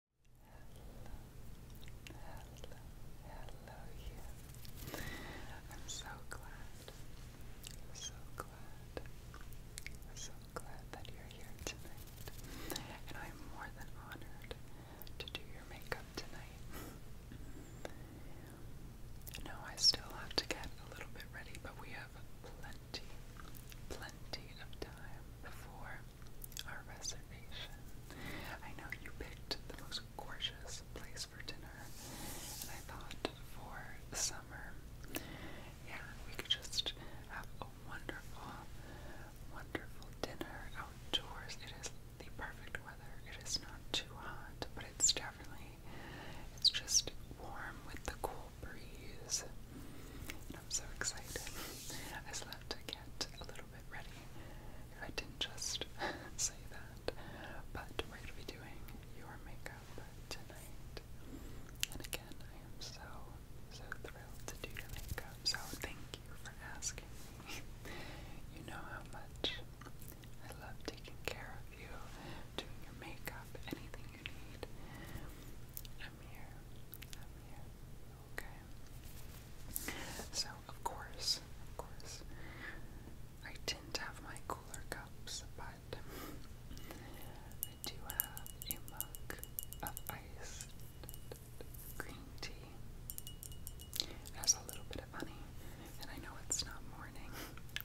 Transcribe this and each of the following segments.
hello, hello, you. I'm so glad, so glad, so glad that you're here tonight. And I'm more than honored to do your makeup tonight. no, I still have to get a little bit ready, but we have plenty, plenty of time before our reservation. I know you picked the most gorgeous place for dinner, and I thought for summer, yeah, we could just have a wonderful, wonderful dinner outdoors. It is the perfect weather. It is not too hot, but it's definitely, it's just warm with the cool breeze. I'm so excited. I still have to get a little ready I didn't just say that. But we're going to be doing your makeup tonight. And again, I am so, so thrilled to do your makeup. So thank you for asking me. you know how much I love taking care of you, doing your makeup, anything you need. I'm here. I'm here. Okay. So of course, of course, I didn't have my cooler cups, but I do have a mug of iced green tea. It has a little bit of honey, and I know it's not morning,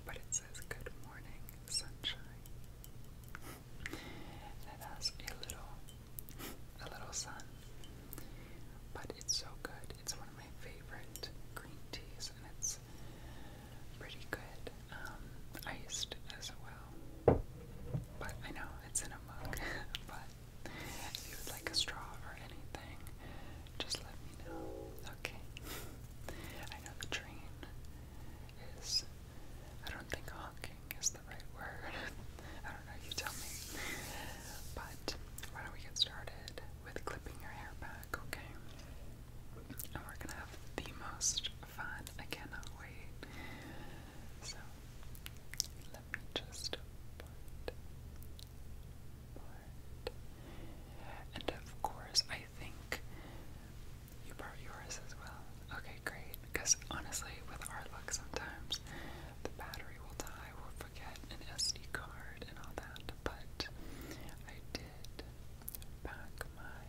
but it says good morning sunshine. it has a little a little sun. But it's so good. It's one of my favorite green teas, and it's pretty good um, iced as well. But I know it's in a mug. but if you would like a straw or anything, just let me know. Okay. I know the train is. I don't think honking is the right word. I don't know, you tell me. But why don't we get started with clipping your hair back, okay? And we're gonna have the most fun. I cannot wait. So let me just part, part. And of course, I think you brought yours as well. Okay, great. Because honestly, with our luck sometimes, the battery will die, we'll forget an SD card and all that, but I did back my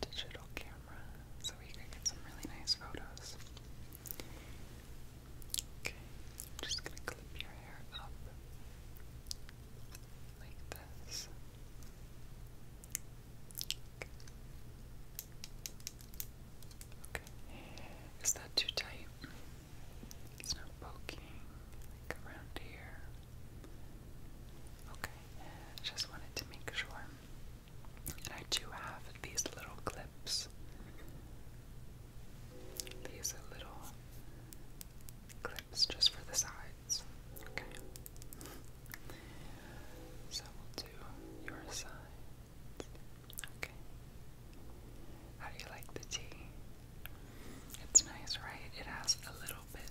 digital camera so we could get some really nice photos. Okay, just gonna clip your hair up like this. Is that too tight? It's not poking around here. Okay. Just wanted to make sure. And I do have these little clips. These little clips just for the sides. Okay. So we'll do your side. Okay. How do you like the tea? It's nice, right? It has a little bit,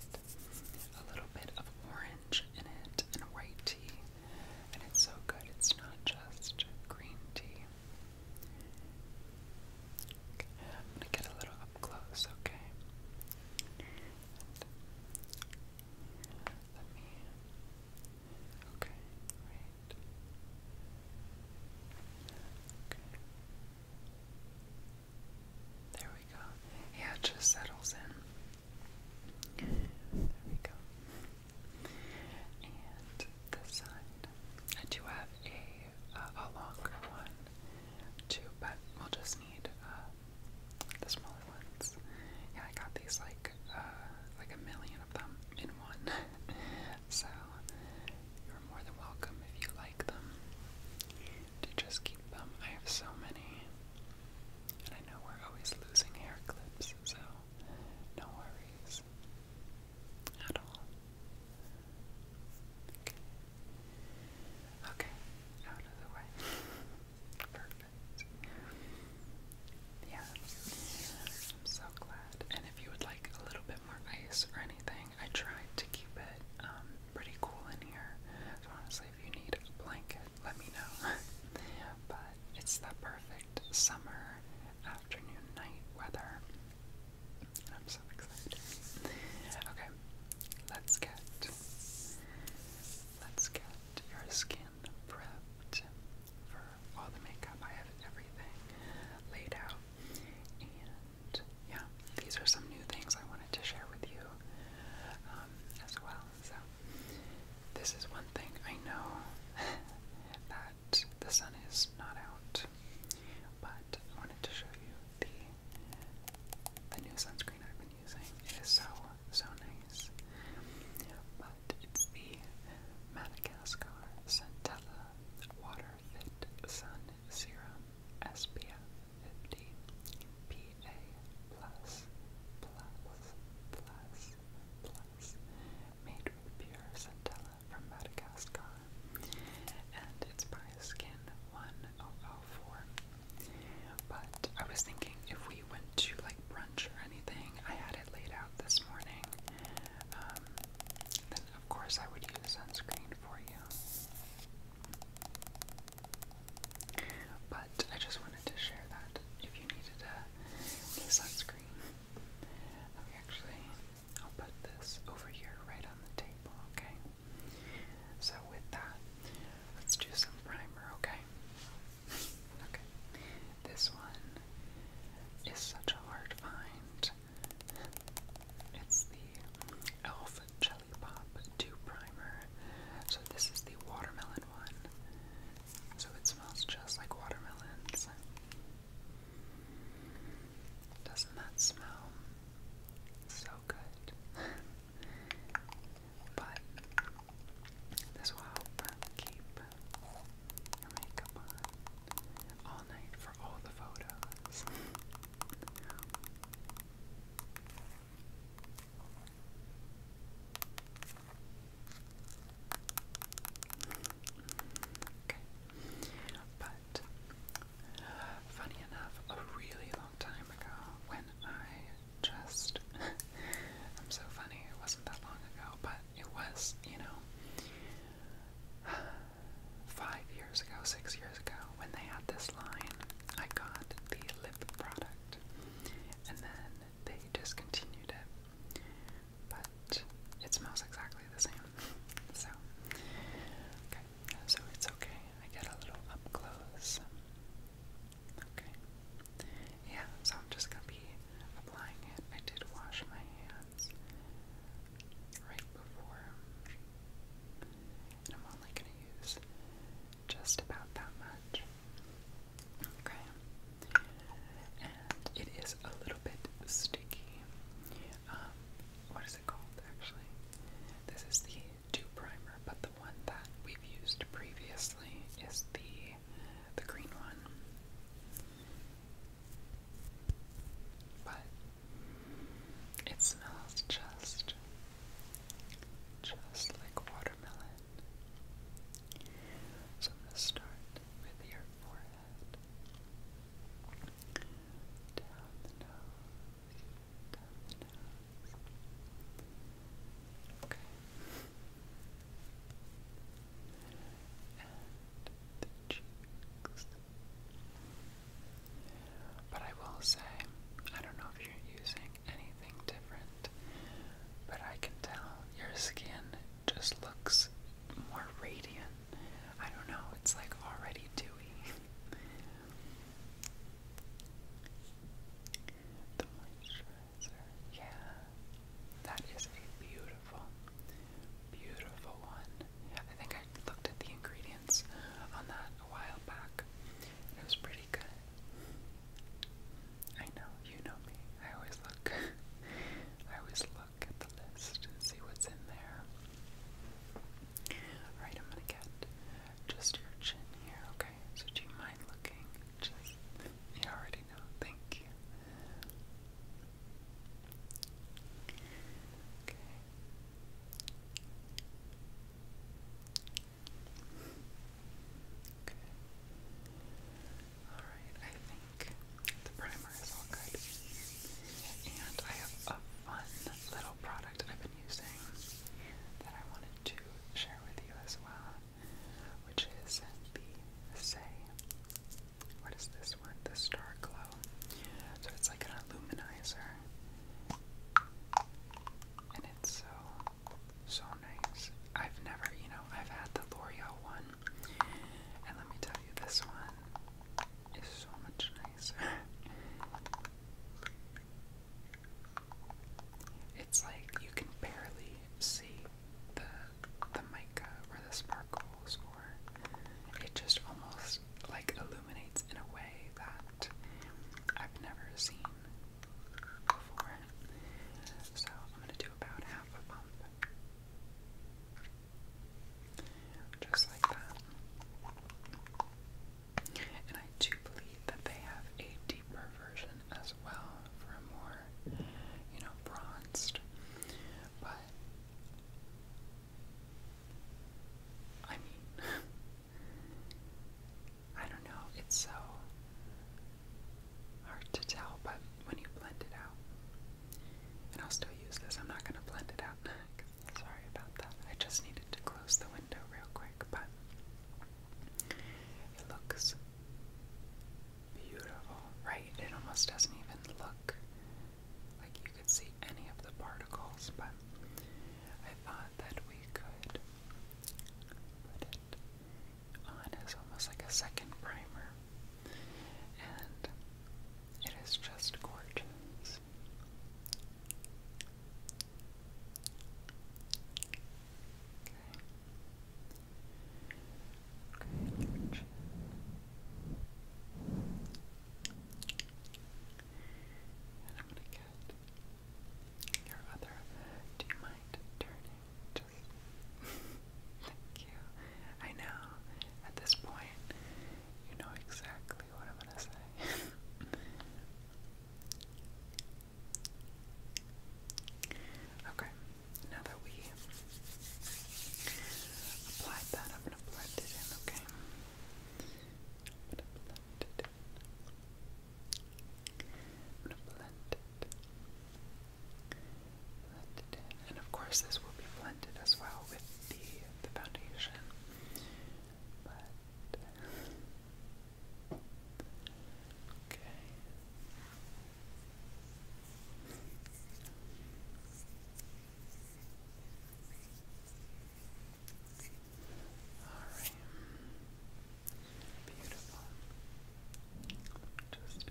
a little bit of orange in it and white tea. And it's so good. It's not just green tea. I'm gonna get a little up close, okay? let me Okay, wait. Okay. There we go. Yeah, just settles in. There we go. And this side. I do have a, uh, a longer one, too, but we'll just need uh, the smaller ones. Yeah, I got these like uh, like a million them in one. so you're more than welcome if you like them to just keep them. I have so many. And I know we're always losing hair clips, so no worries at all. Okay, out of the way. Perfect yeah, I'm so glad. And if you would like a little bit more ice or anything, I tried to keep it um, pretty cool in here. So honestly, if you need a blanket, let me know. but it's the perfect summer afternoon night weather. And I'm so excited. Okay, let's get let's get your skin prepped for all the makeup. I have everything laid out. And yeah, these are some new things I wanted to share with you um, as well. So, this is one thing I know that the sun is not out, but I wanted to show you the the new sunscreen I've been using. It is so so nice it's the Madagascar Centella Water Fit Sun Serum SPF 50 PA plus plus plus plus made with pure centella from Madagascar and it's by Skin 1004 but I was thinking if we went to like brunch or anything I had it laid out this morning um, of course, I would use sunscreen for you. But I just wanted to share that if you needed a, sunscreen. Okay, actually, I'll put this over here right on the table, okay? So, with that, let's do some primer, okay? okay. This one is such a hard find. It's the Elf Jelly Pop 2 Primer. So, this is the watermelon one. So, it smells just like watermelons. Doesn't that smell so good? but this will help keep all night for all the photos. okay. But funny enough, a really long time ago when I just I'm so funny, it wasn't that long ago, but but it was, you know, five years ago, six years ago, when they had this line, I got the lip product, and then they discontinued it, but it smells exactly the same, so, okay, so it's okay, I get a little up close, okay, yeah, so I'm just gonna be applying it, I did wash my hands right before. And I'm only going to use just about that much. Okay. And it is a little bit sticky. Um, what is it called actually? This is the two primer, but the one that we've used previously is the the green one. But it smells just just like watermelon. So I'm gonna start with your forehead. Down the nose. Down the nose. Okay. But I will say, I don't know if you're using anything different, but I can tell your skin just looks more radiant. I don't know, it's like already dewy. the moisturizer, yeah. That is a beautiful, beautiful one. I think I looked at the ingredients on that a while back. It was pretty good. I know, you know me. I always look. I always look at the list and see what's in there. Alright, I'm gonna get just your chin here, okay? So you mind looking? Just, you already Thank you. Okay. Okay. Alright, I think the primer is all good. And I have a fun little product I've been using that I wanted to share with you as well, which is the Say what is this one? The star glow. So it's like an illuminizer. And it's so, so nice. I've never, you know, I've had the L'Oreal one. And let me tell you, this one is so much nicer. It's like you can barely see the the mica or the sparkles or it just almost like illuminates in a way that I've never seen before. So I'm gonna do about half a pump. Just like that. And I do believe that they have a deeper version as well for a more, you know, bronzed. But I mean, I don't know, it's so hard to tell, but when you blend it out, and I'll still use this, I'm not going to blend it out. Sorry about that. I just needed to close the window real quick, but it looks Beautiful, right? It almost doesn't even look like you could see any of the particles, but I thought that we could put it on as almost like a second primer. And it is just gorgeous. Okay. I'm gonna get your other. Do you mind turning? Just thank you. I know. At this point, you know exactly what I'm gonna say. Okay, now that we applied that, I'm going to blend it in, okay? I'm going to blend it I'm going to blend it. Blend it And of course, this will be blended as well with the, the foundation. But. Okay. All right. Beautiful. Just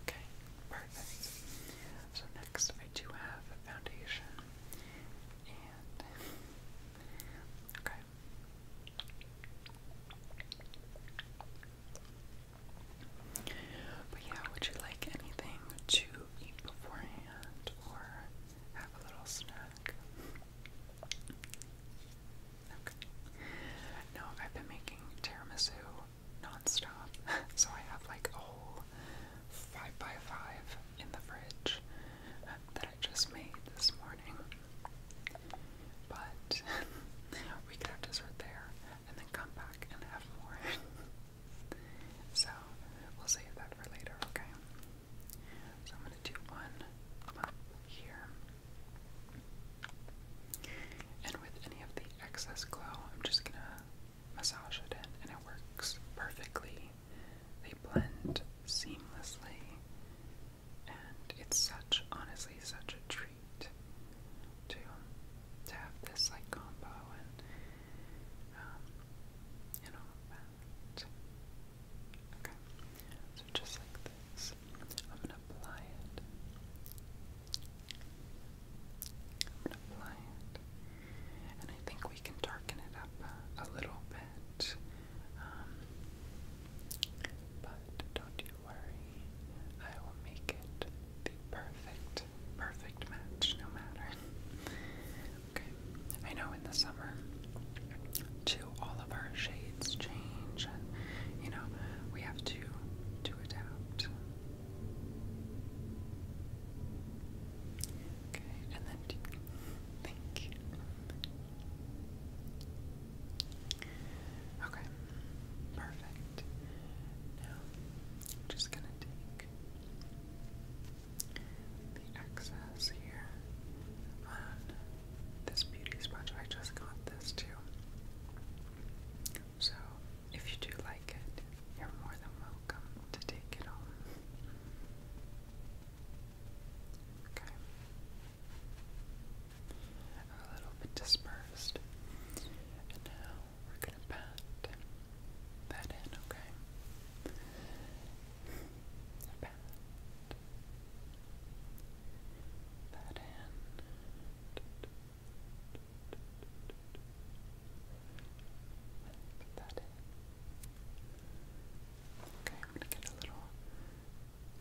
Okay, perfect. So next I do have a foundation okay. But yeah, would you like anything to eat beforehand or have a little snack? Okay. No, I've been making tiramisu non so I have like a whole 5 by 5 in the fridge uh, that I just made this morning. But we could have dessert there and then come back and have more. so we'll save that for later, okay? So I'm going to do one here. And with any of the excess glow, I'm just going to massage it in, and it works perfectly they blend seamlessly, and it's such, honestly, such a treat to to have this like combo and um, and all Okay, so just like this, I'm gonna apply it. I'm gonna apply it. And I think we can darken it up a, little bit. Um, but don't you worry, I will make it the perfect, perfect match no matter. Okay, I know in the summer, too, all of our shades change, and you know, we have to, to adapt. Okay, and then thank you. Okay, perfect. Now I'm just gonna take the excess here on this beauty sponge. I just got this too. So if you do like it, you're more than welcome to take it home. Okay. Are a little bit dispersed. And we're gonna pat that in, okay? Pat that in. that in. Okay, I'm gonna get a little,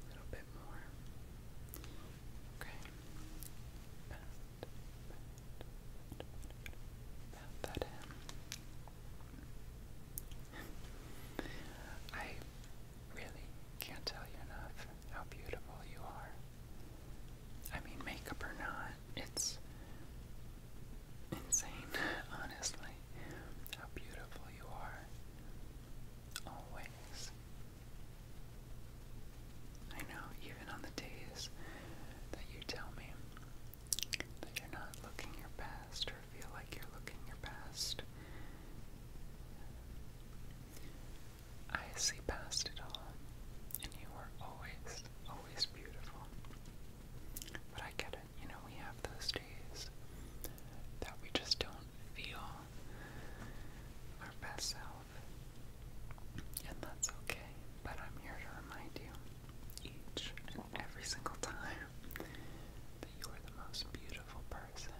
little bit more. Okay, pat, pat, pat that in. I really can't tell you enough how beautiful you are. I mean, makeup or not, it's insane, honestly, how beautiful you are. Always. I know, even on the days that you tell me that you're not looking your best or feel like you're looking your best, I see past it all, and you are always, always beautiful. But I can you know, we have those days that we just don't feel our best self. And that's okay. But I'm here to remind you each and every single time that you are the most beautiful person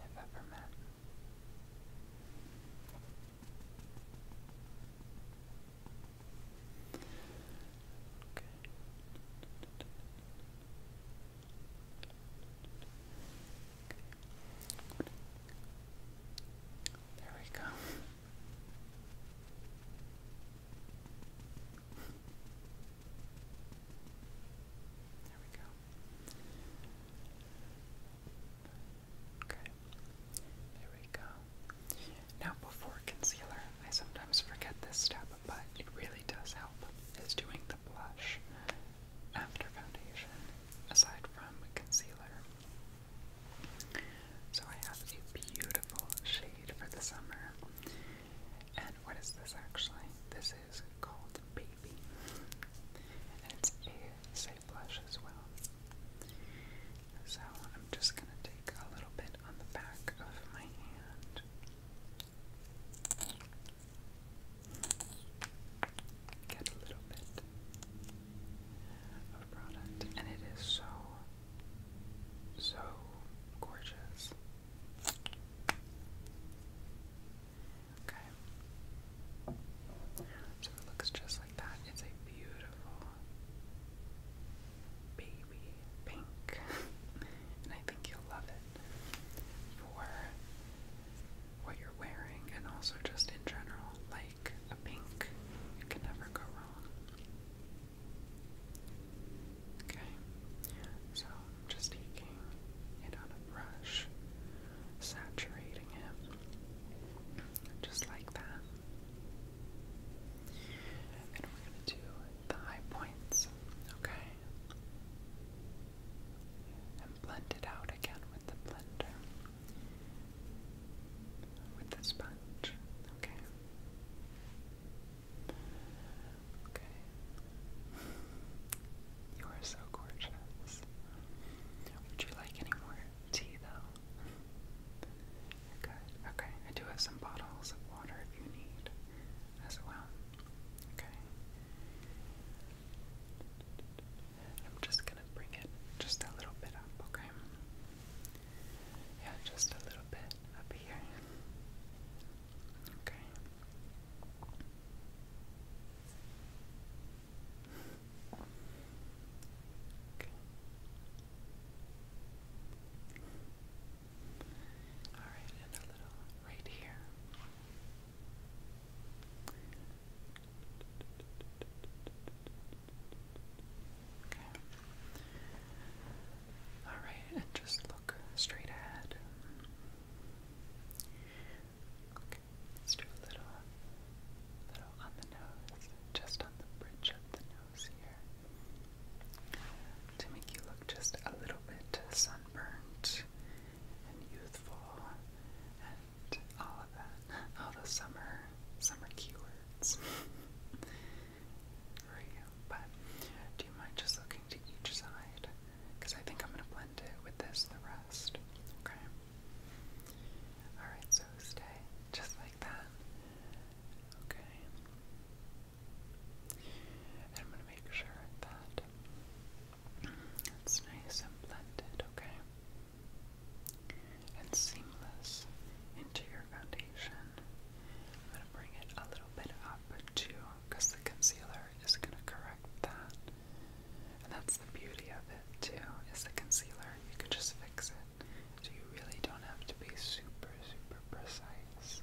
I've ever met. There we go. There we go. Okay. There we go. Now before concealer, I sometimes forget this step, but it really does help, is doing the blush after foundation, aside from concealer. So I have a beautiful shade for the summer. And what is this actually? This is called Baby. And it's a safe blush as well. So I'm just gonna take a little bit on the back of my hand. Get a little bit of product, and it is so, so gorgeous. Okay. So it looks just like that. It's a beautiful baby pink, and I think you'll love it for what you're wearing, and also just in general, like a pink, it can never go wrong. Okay, so I'm just taking it on a brush, saturating it just like that. And we're going to do the high points, okay? And blend it out again with the blender, with the sponge, okay? Okay. You are so gorgeous. Would you like any more tea, though? good. Okay, I do have some bottles of water if you need as well. Okay. I'm just gonna bring it just a little bit up, okay? Yeah, just a little bit up here. Okay. Okay. Alright, another little right here. Okay. Alright, and just look straight ahead. Okay, let a little, little on the nose, just on the bridge of the nose to make you look just a little bit sunburnt and youthful and all of that, all the summer, summer keywords for you. But do you mind just looking to each side? Because I think I'm going to blend it with this, the rest. Okay. Alright, so stay just like that. Okay. And I'm going to make sure that it's nice and blended, okay? And seamless into your foundation. I'm going to bring it a little bit up too, because the concealer is going to correct that. And that's the beauty of it too, is the concealer. You can just fix it. So you really don't have to be super, super precise.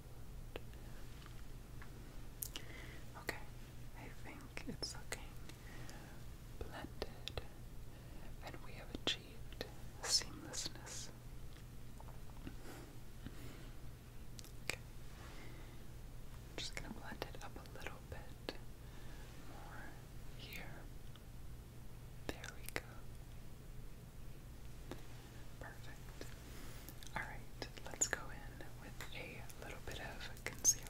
Okay, I think it's looking blended, and we have achieved seamlessness. just gonna blend it up a little bit more here. There we go. Perfect. Alright, let's go in with a little bit of concealer.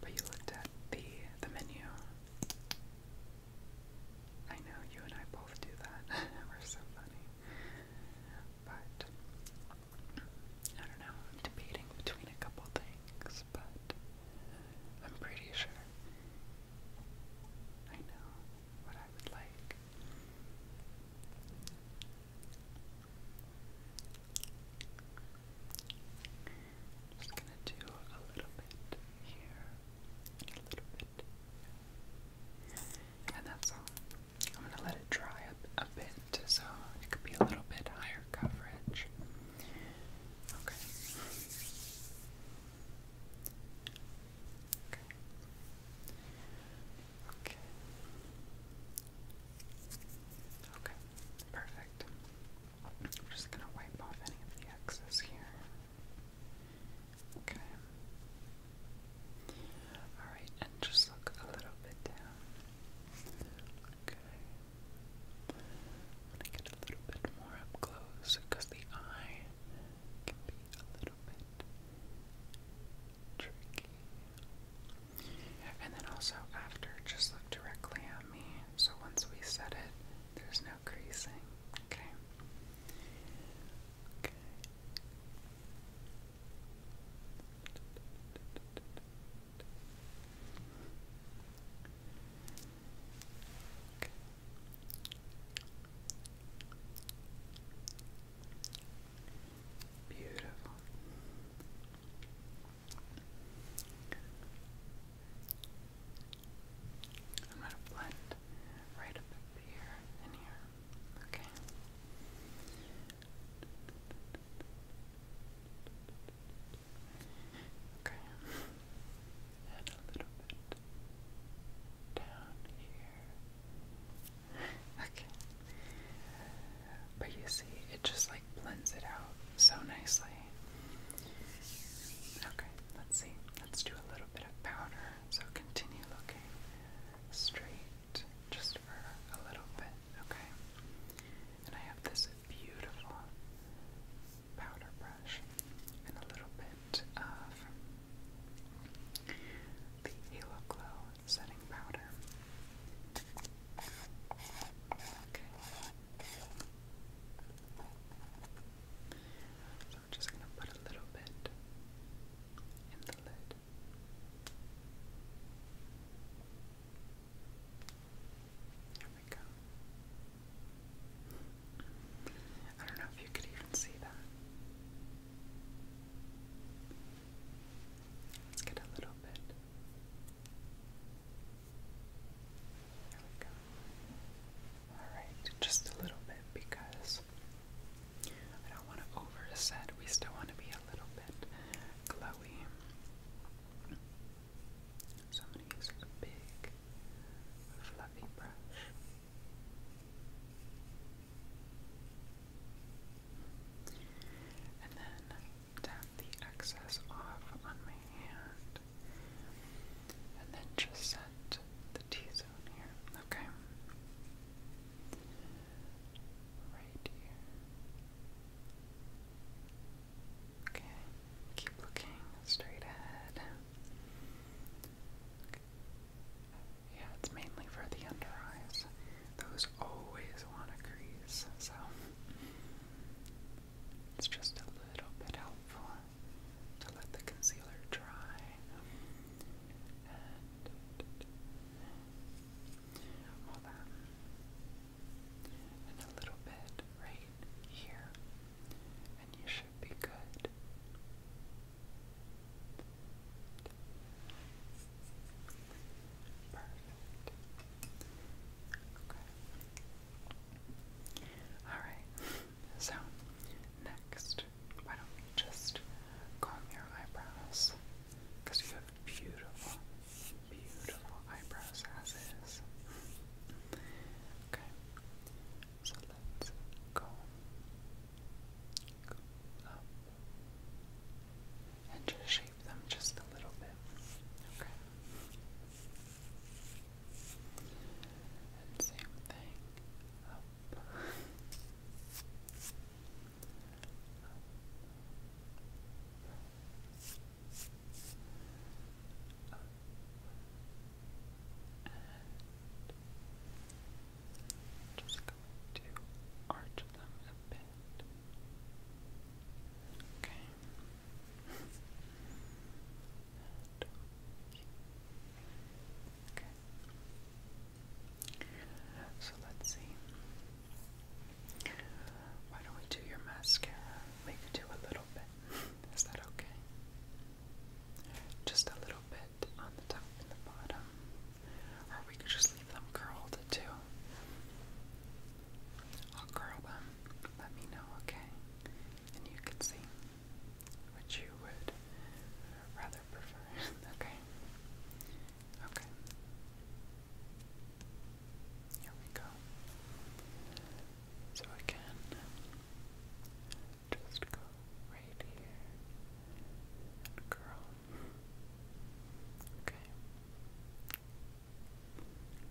But you looked at the the menu. I know you and I both do that. We're so funny. But I don't know. I'm debating between a couple things, but I'm pretty sure I know what I would like. just gonna do a little bit here, a little bit, and that's all. I'm gonna let it dry a bit, so it could be a little bit higher coverage. Okay. Okay. Okay. Perfect. I'm just gonna wipe off any of the excess here. Okay. Alright, and just look a little bit Okay. I'm gonna get a little bit more up close because the eye can be a little bit tricky. And then also after, just look directly at me. So once we set it, there's no creasing. Okay. Okay. Okay. Beautiful. I'm going to blend right up here and here. Okay. Okay. And a little bit down here. Okay. But you see, it just like blends it out so nicely. Okay, let's see. Let's do a little bit of powder. So continue looking straight just for a little bit, okay? And I have this beautiful powder brush and a little bit of the Halo Glow setting powder. Okay. So I'm just going to put a little bit in the lid. There we go. I don't know if you could even see that. Let's get a little bit. There we go. Alright, just a little bit because I don't want to overset. We still want to be a little bit glowy. So I'm going to use this big, fluffy brush. And then tap the excess off on my hand. And then just set the T zone here, okay? Right here. Okay, keep looking straight ahead. Yeah, it's mainly for the under eyes. Those always want to crease, so it's just a little bit helpful to let the concealer dry. And that and a little bit right here, and you should be good. Perfect. Okay. Alright, so next, why don't we just comb your eyebrows? Because you have beautiful, beautiful eyebrows as is. Okay, so let's go, go up and just shape them just a little bit. Okay. And same thing up. up. up up and just going to arch them a bit. Okay. okay. So let's see. Why don't we do your mascara? We could do a little bit is that okay? Just a little bit on the top and the bottom. Or we could just leave them curled too. I'll curl them. Let me know, okay? And you can see which you would rather prefer. okay? Okay. Here we go. So I just go right here curl. Okay.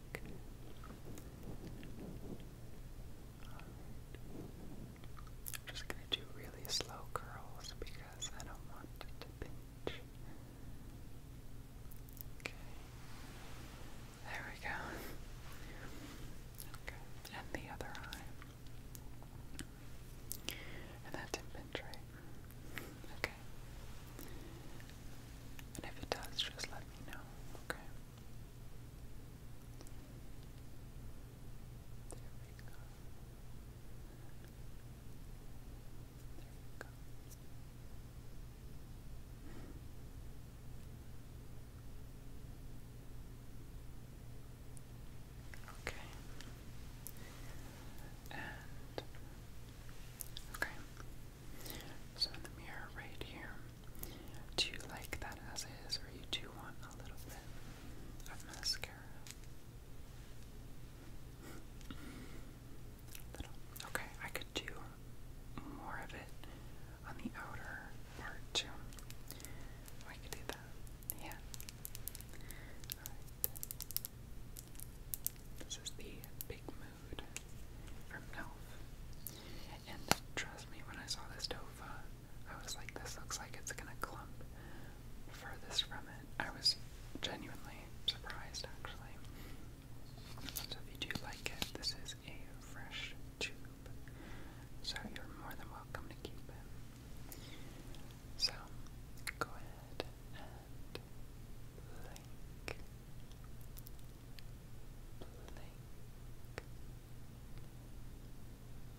Okay. I'm just gonna do really slow curls because I don't want it to pinch. Okay. There we go. Okay, and the other eye. And that did Okay. And if it does, just let me know. Okay. There we go. There we go. Okay. okay. So in the mirror right here. Do you like that as is or you do want a little bit of mascara? Little. Okay, I could do more of it on the outer part too. We could do that. Yeah. This is the Big Mood from Nelf. And trust me, when I saw this tofa, I was like, this looks like it's gonna clump furthest from it. I was genuinely surprised actually. So if you do like it, this is a fresh tube. So you're more than welcome to keep it. So go ahead and blink. Blink. Blink.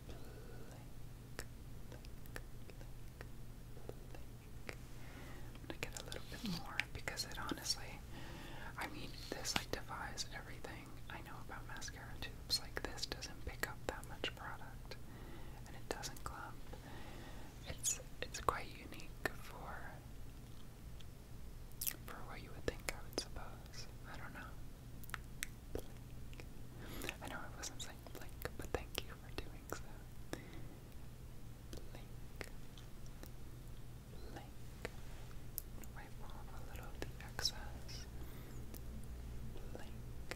Blink. Blink. Blink. I'm gonna get a little bit more because it honestly day. I mean, this like defies everything I know about mascara tubes. Like this doesn't pick up that much product, and it doesn't clump. It's it's quite unique for for what you would think. I would suppose. I don't know. Blink. I know I wasn't saying blink, but thank you for doing so. Blink blink, wipe off a little of the excess, blink.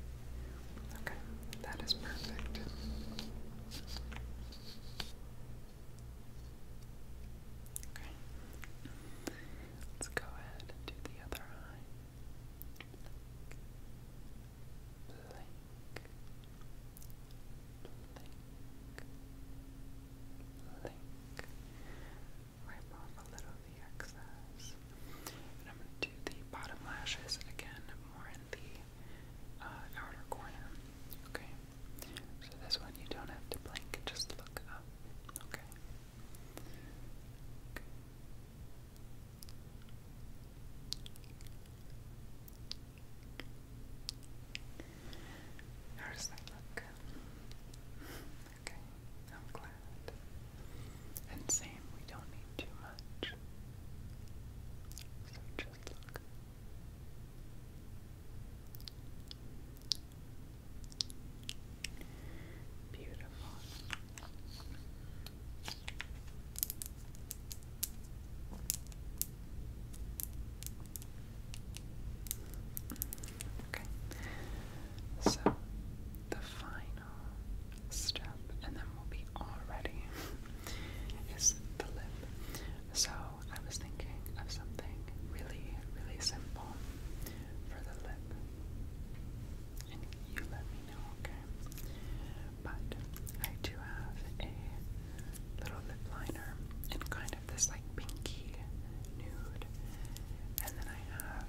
Okay, that is perfect. Okay, let's go ahead and do the other eye. Blink, Link. Link. Wipe off a little of the excess. I'm going to do the bottom lashes again more in the outer corner. Okay? So this one you don't have to blink, just look up. Okay. Okay. How does that look? Okay, I'm glad. And same, we don't need too much. So just look. Beautiful. Okay. So the final step, and then we'll be all ready, is the lip. So I was thinking of something really, really simple for the lip. And you let me know, okay? But I do have a little lip liner in kind of this like pinky nude. And then I have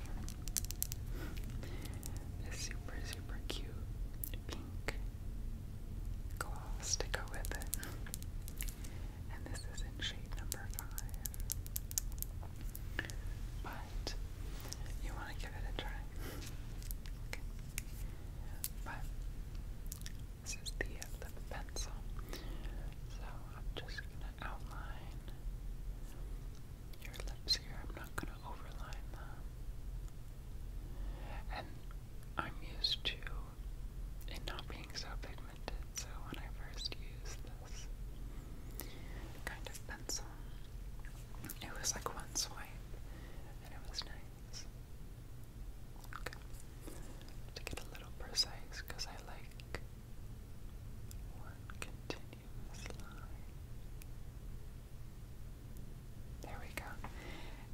this super, super cute pink gloss to go with it. And this is in shade number five. But you want to give it a try. But this is uh, the pencil. So I'm just gonna outline your lips here. I'm not gonna overline them. And I'm used to it not being so pigmented, so when I first used this kind of pencil, it was like one swipe and it was nice to get a little precise because I like one continuous line. There we go.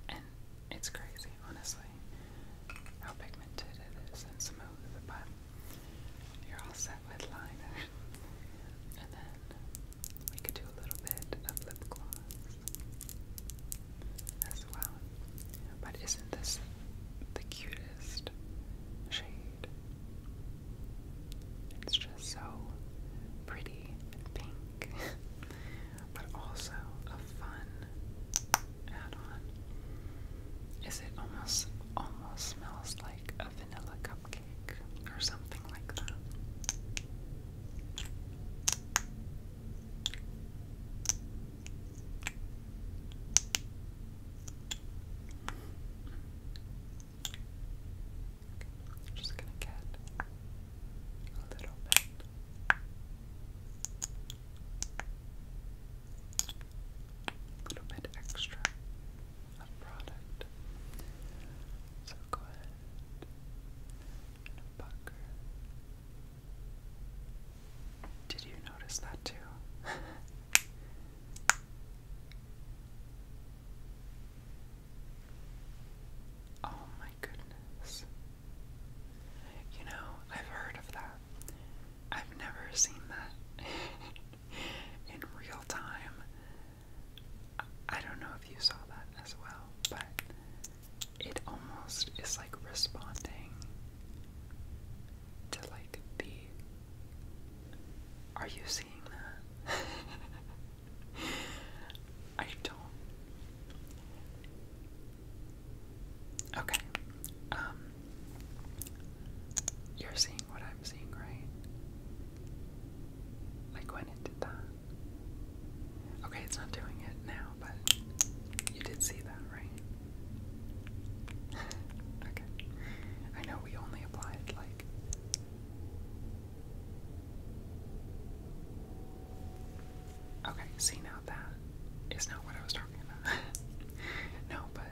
And it's crazy, honestly, how pigmented it is and smooth, but you're all set with liner. and then we could do a little bit of lip gloss as well. But isn't this the cutest shade? It's just so pretty and pink, but also a fun add-on. Is it almost almost smells like a vanilla cupcake or something like that? Just going a little bit. A little bit extra of product. So go ahead and pucker, did you notice that too? oh my goodness. You know, I've heard of that. I've never seen that in real time. I don't know if you saw that as well, but it almost is like responding to like be. Are you seeing that? I don't. Okay. Um You're seeing what I'm seeing, right? Like when it did that. Okay, it's not doing it now, but you did see that, right? okay. I know we only applied like Okay, see now that is not what I was talking about. no, but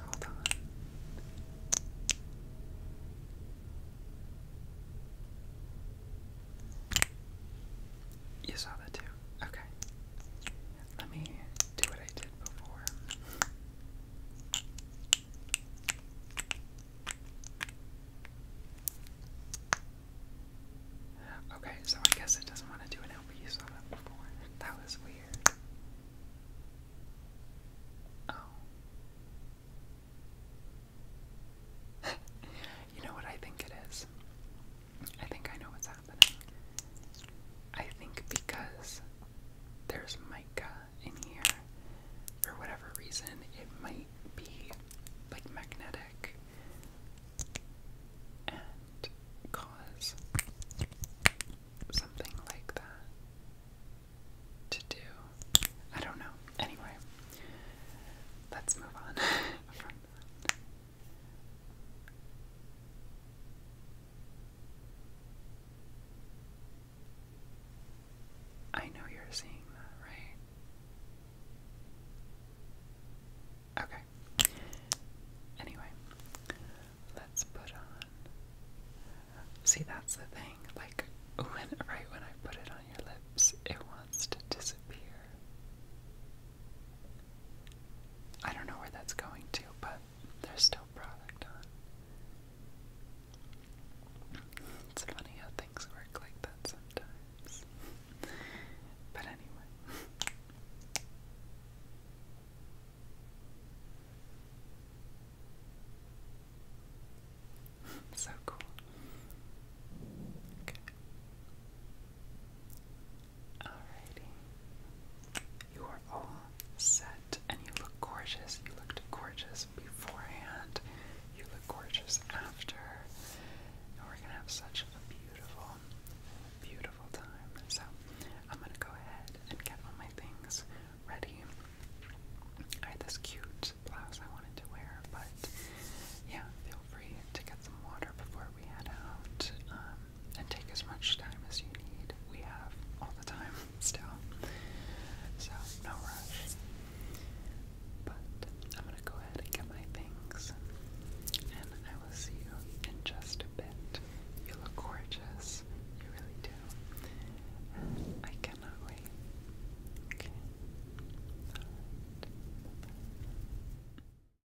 hold on. You saw that too. Okay. Let me do what I did before. Okay, so I guess it doesn't want to do an LP, you saw that before. That was weird. Oh. you know what I think it is? I think I know what's happening. I think because there's mica in here, for whatever reason, it might be like magnetic and cause something like that to do. I don't know. Anyway, let's move on I know you're seeing that, right? Okay. Anyway, let's put on. See, that's the thing. Like, when, right when I put it on your lips, it wants to disappear. I don't know where that's going to, but there's still product on. It's funny how things work like that sometimes. but anyway. so cool. Okay. Alrighty. You are all set and you look gorgeous. You looked gorgeous beforehand. You look gorgeous after. And we're gonna have such a beautiful, beautiful time. So I'm gonna go ahead and get all my things ready. I had this cute blouse I wanted to wear, but yeah, free to get some water before we head out um, and take as much time as you need. We have all the time still, so no rush. But I'm gonna go ahead and get my things, and I will see you in just a bit. You look gorgeous, you really do. I cannot wait. Okay.